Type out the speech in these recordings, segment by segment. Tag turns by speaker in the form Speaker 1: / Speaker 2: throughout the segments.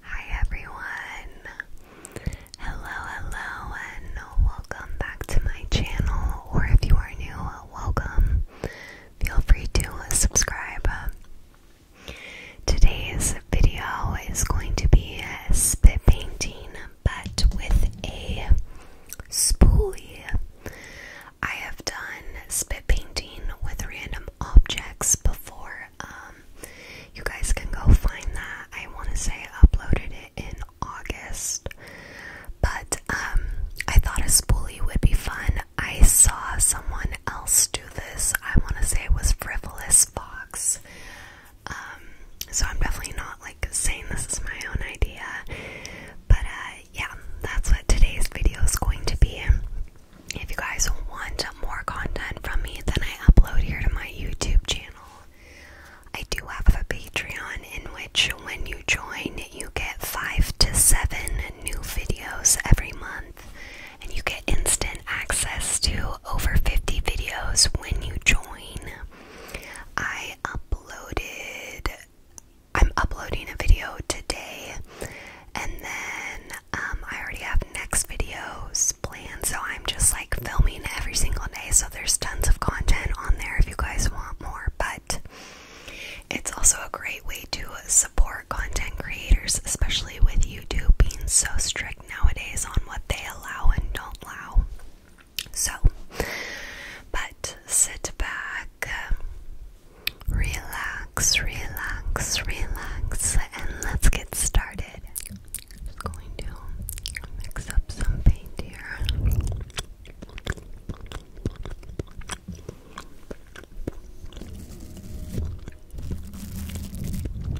Speaker 1: Hi everyone. Hello, hello, and welcome back to my channel. Or if you are new, welcome. Feel free to subscribe. Today's video is going to be spit painting but with a spoolie. I have done spit painting with random objects before. Um, you guys can go find that. I want to say uploaded it in August, but um, I thought a spoolie would be fun. I saw someone else do this. I want to say it was Frivolous Fox. Um, so I'm definitely not like saying this is my own idea, but uh, yeah, that's what today's video is going to be. If you guys want more content from me, then I upload here to my YouTube channel. I do have a Patreon in which, when you join, you get five to seven new videos every month, and you get instant access to over 50 videos when you join. I uploaded, I'm uploading a video today, and then um, I already have next videos planned, so I'm just like filming every single day. So there's tons of content on there if you guys want more, but it's also a great way to support content creators, especially with YouTube being so strict nowadays on what they allow and don't allow. So, but sit back, um, relax, relax, relax, and let's get started. just going to mix up some paint here.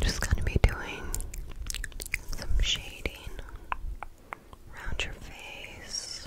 Speaker 1: Just gonna be doing some shading around your face.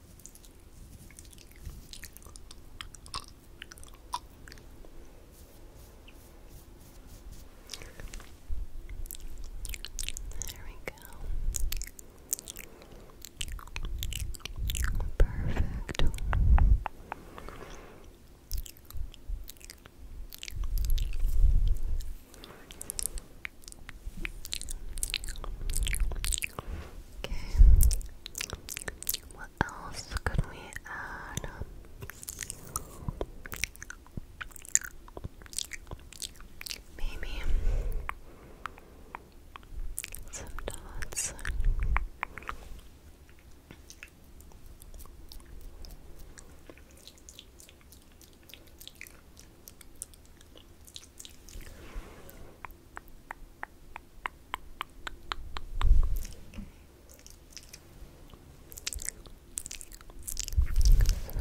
Speaker 1: There we go. Perfect. Okay. What else could we add? Maybe some dots.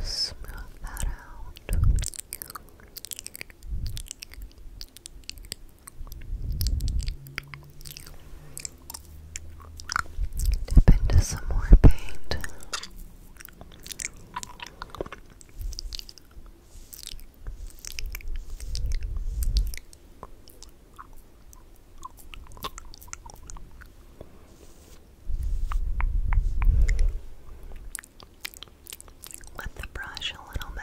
Speaker 1: Smooth that out. Dip into some more paint. With the brush a little bit.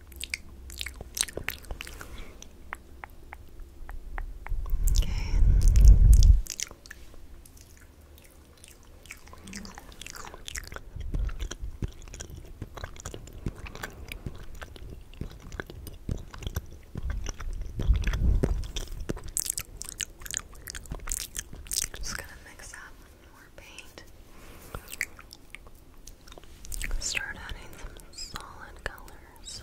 Speaker 1: Okay. Just gonna mix up more paint. Start adding some solid colors.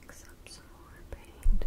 Speaker 1: Mix up some more paint.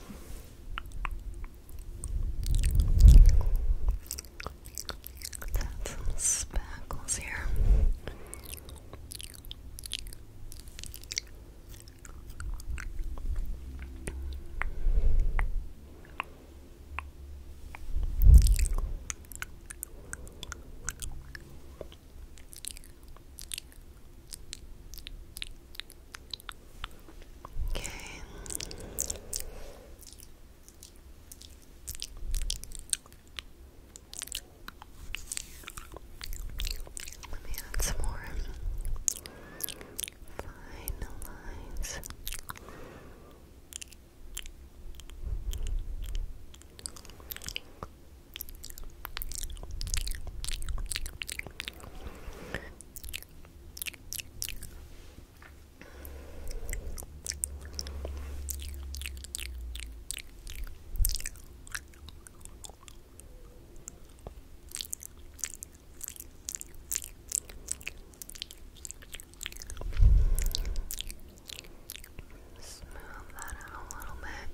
Speaker 1: add some speckles here. Okay. Let me add some more fine lines. Smooth that out a little bit.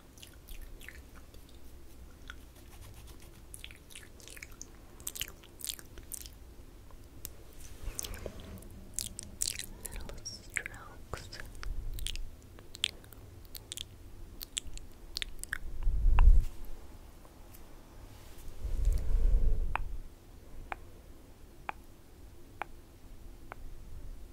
Speaker 1: Little strokes. Good.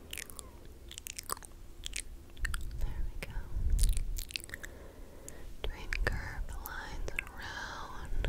Speaker 1: There we go. curved lines around.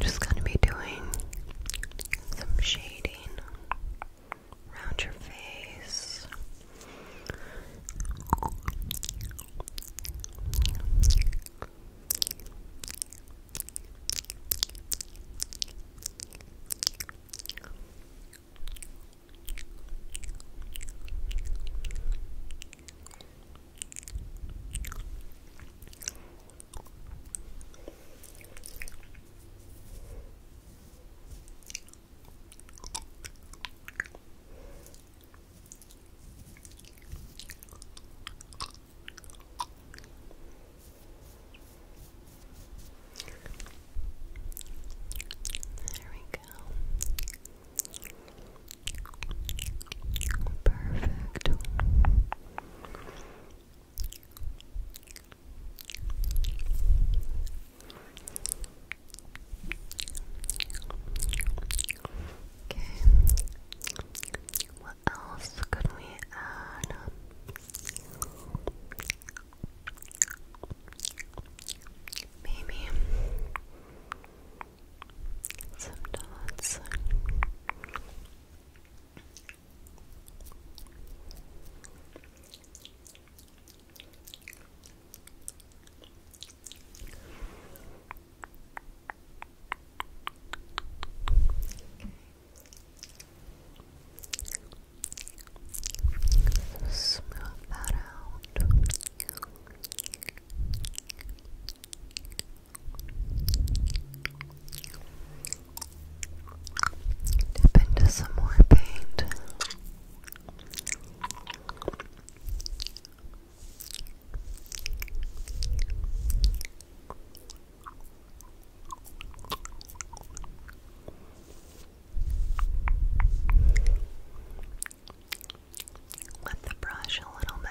Speaker 1: Just gonna be doing some shading around your face. There we go. Perfect. Okay. What else could we add? Maybe some dots. Smooth that out. Dip into some more paint with the brush a little bit.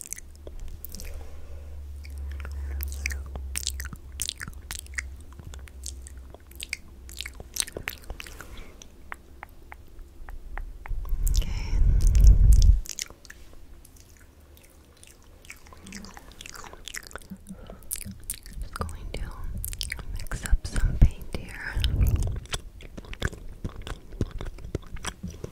Speaker 1: Just going to mix up some paint here.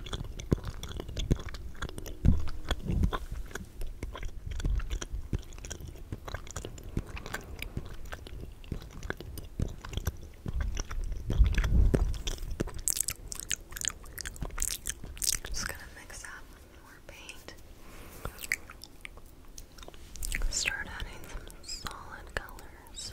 Speaker 1: Just gonna mix up more paint. Start adding some solid colors.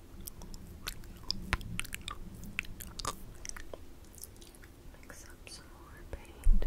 Speaker 1: Mix up some more paint.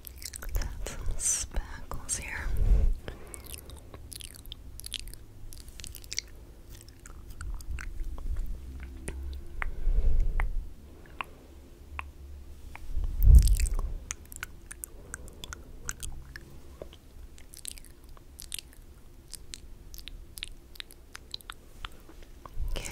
Speaker 1: let some speckles here. Okay.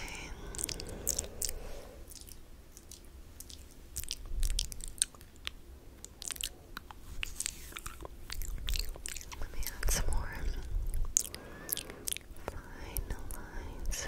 Speaker 1: Let me add some more fine lines.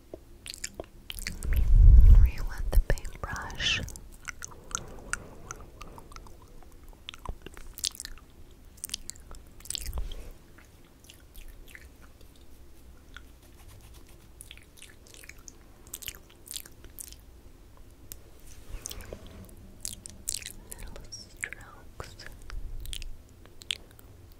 Speaker 1: Where you the paintbrush? Little strokes.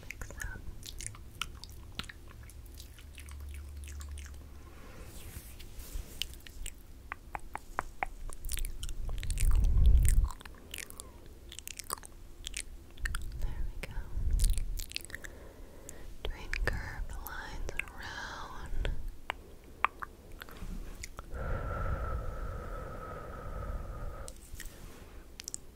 Speaker 1: Mix up. There we go. Doing curved lines around.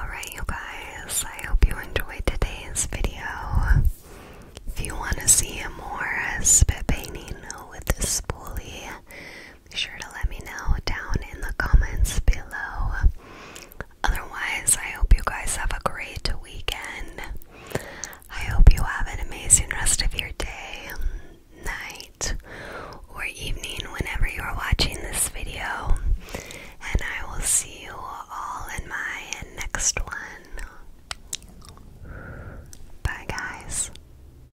Speaker 1: Alright, you guys, I hope you enjoyed today's video. If you want to see more spit painting with this spoolie, be sure to let me know down in the comments below. Otherwise, I hope you guys have a great weekend. I hope you have an amazing rest of your day, night, or evening whenever you are watching this video. And I will see you all in my next one. Bye, guys.